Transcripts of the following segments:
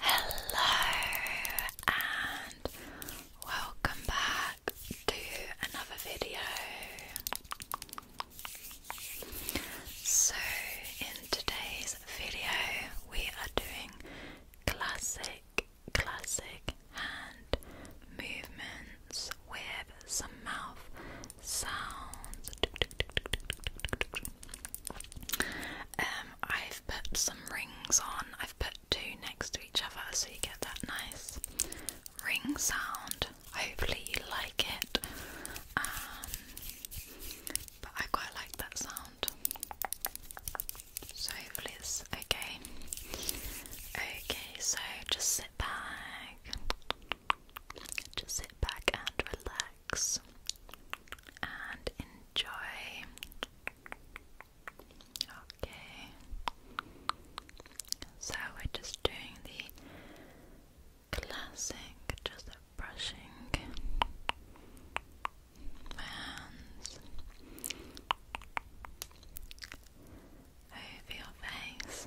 Hello and welcome back to another video. So, in today's video, we are doing classic, classic hand movements with some mouth sounds. Um, I've put some rings on. I've put two next to each other so you get that nice ring sound. Hopefully you like it. Um, but I quite like that sound. So hopefully it's okay. Okay, so just sit back. Just sit back and relax relax and enjoy. Okay, so we're just doing the classic, just brushing hands over your face.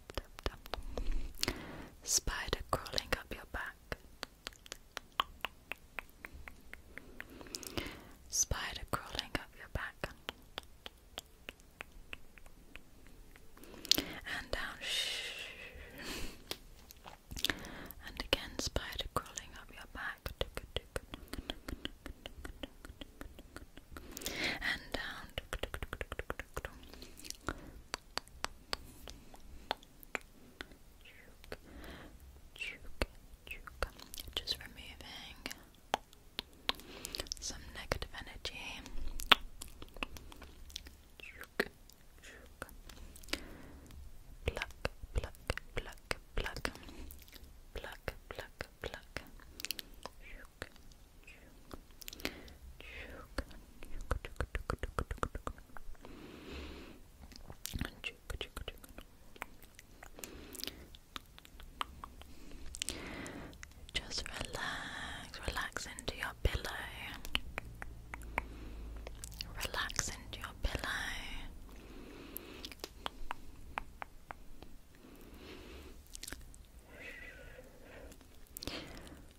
Spider crawling up your back. Spider crawling up your back. And down. And again, spider crawling up your back. And down. Just removing some negative energy. Pluck, pluck, pluck, pluck, pluck, pluck, pluck. Just relax, relax into your pillow. Relax into your pillow.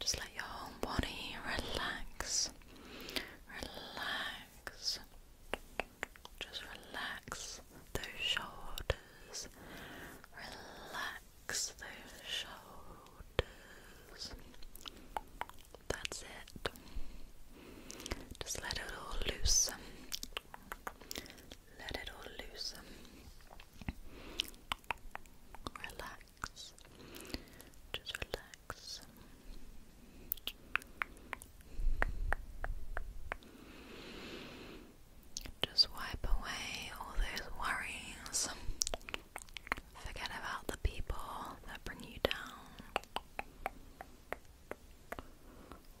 Just let your whole body relax. Relax. Just relax those shoulders. Relax those shoulders. That's it. Just let it all loose. Let it all loose. Relax. Just relax. Just wipe away all those worries. Forget about the people that bring you down.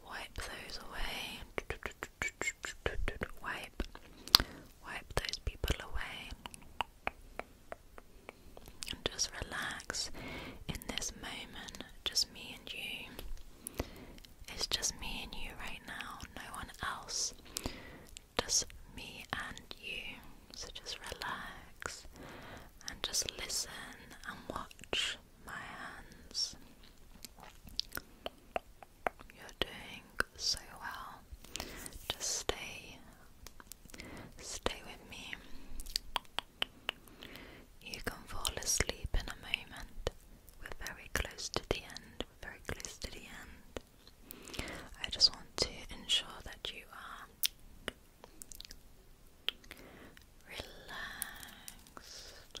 Wipe those away wipe, wipe those people away, and just relax in this moment. Just me and you. It's just me and you right now. No one else. Just me and you. So just relax and just listen and watch my hands. You're doing so well. Just stay, stay with me. You can fall asleep in a moment. We're very close to the end. very close to the end. I just want to ensure that you are Relaxed,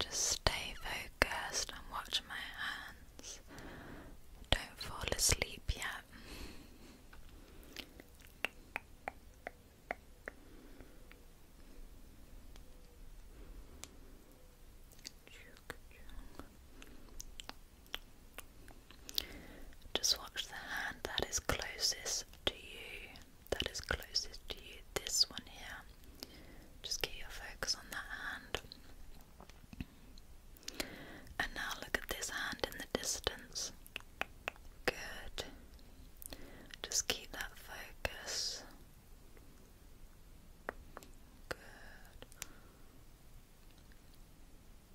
Just stay focused and watch my hands. Don't fall asleep yet. Just watch the hand that is closest to you. That is closest to you. This one here. Just keep your focus on that hand. And now look at this hand in the distance. Good. Just keep that focus. Good.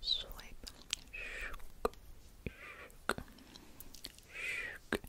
Swipe. Shook. Shook. Shook. Shook. Shook.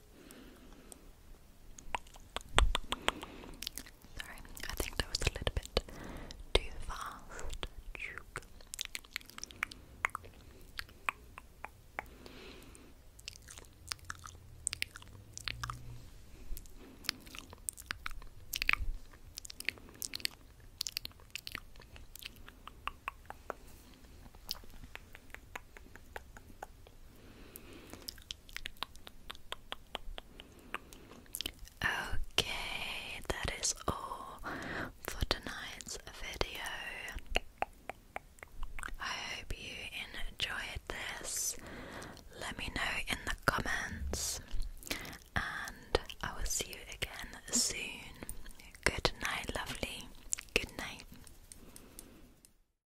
Sorry, I think that was a little bit too fast. Okay, that is all for tonight's video. I hope you enjoyed this. Let me know in the comments, and I will see you again soon. Good night, lovely. Good night.